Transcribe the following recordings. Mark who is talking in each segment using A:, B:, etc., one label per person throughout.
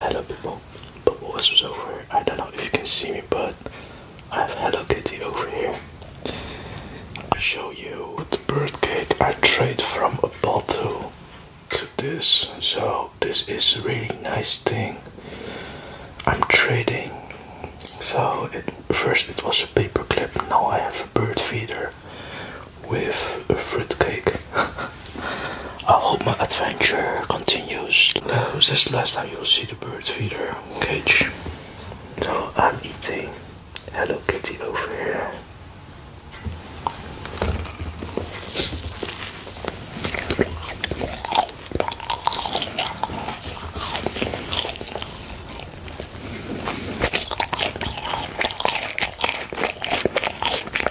A: Hello people, but what was over I don't know if you can see me but I have Hello Kitty over here. I show you the bird cake I trade from a bottle to this. So this is a really nice thing. I'm trading. So first it was a paper clip, now I have a bird feeder with a fruit cake. I hope my adventure continues. this is the last time you'll see the bird feeder cage. So I'm eating Hello Kitty over here.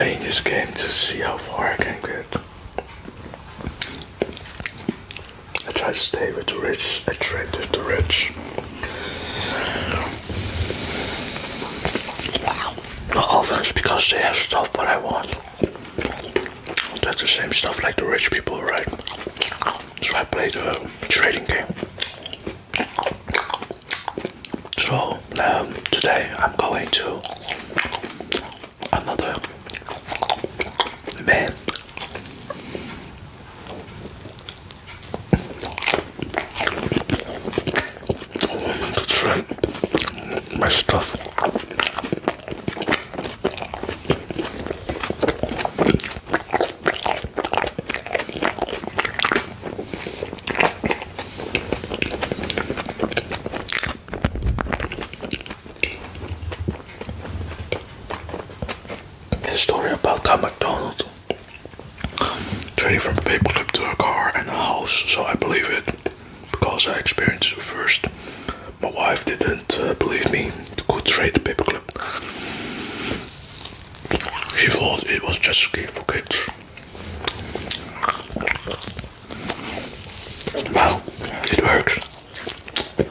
A: I just came to see how far I can get. I try to stay with the rich, I trade with the rich. often because they have stuff that I want. That's the same stuff like the rich people, right? So I play the trading game. So um, today I'm going to another man. To try my stuff. The story about how McDonald trading from a paperclip to a car and a house, so I believe it because I experienced it first. My wife didn't uh, believe me. to go trade the paperclip. She thought it was just a game for kids. Well, it works. it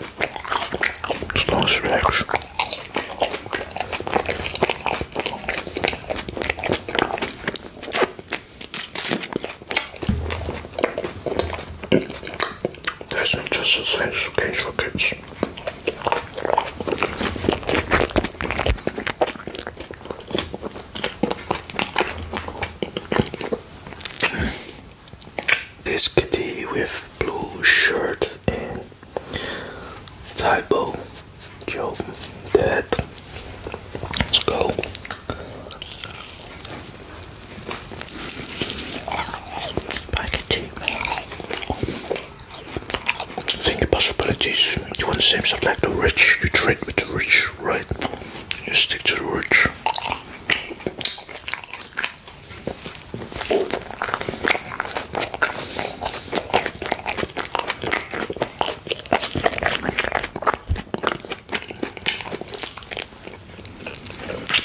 A: works. That's just a sense of for kids. This kitty with blue shirt and typo joke dead. let's go Packaging. Think possibilities. You want to seem something like the rich. You trade with the rich, right? You stick to the rich.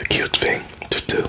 A: a cute thing to do.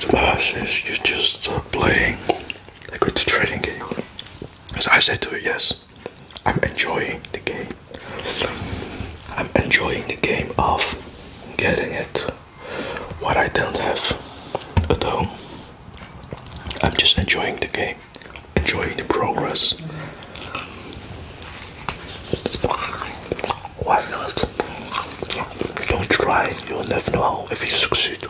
A: Tomorrow says you just stop playing like with the trading game. As I said to it, yes, I'm enjoying the game. I'm enjoying the game of getting it what I don't have at home. I'm just enjoying the game Enjoying the progress. Why not? Don't try, you'll never know if you succeed.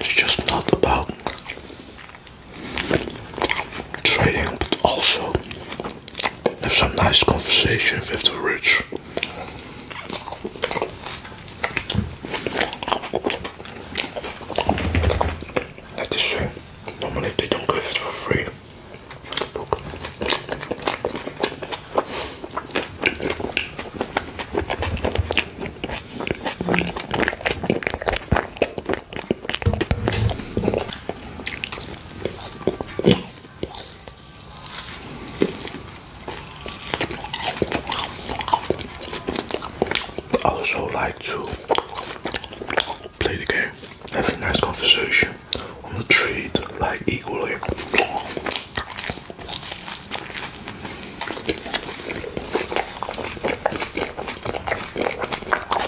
A: It's just not about trading, but also have some nice conversation with the rich. That is uh, normally they don't give it for free. I also like to play the game, have a nice conversation on the treat, like equally.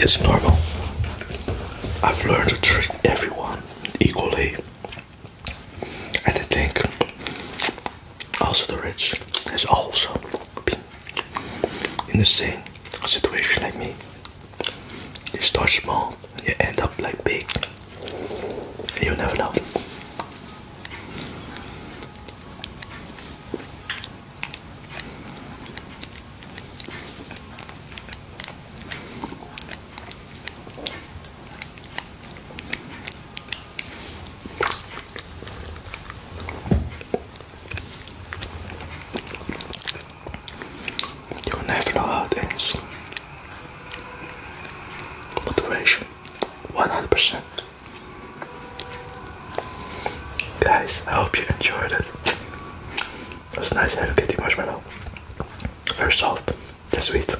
A: It's normal. I've learned to treat everyone equally, and I think also the rich is also been in the same situation like me. You start small, and you end up like big. And you never know. You never know how it ends. Motivation 100%. Guys, I hope you enjoyed it. It was a nice Hello Kitty marshmallow. Very soft and sweet.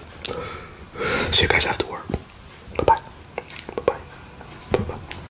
A: See you guys after work. Bye bye. Bye bye. Bye bye.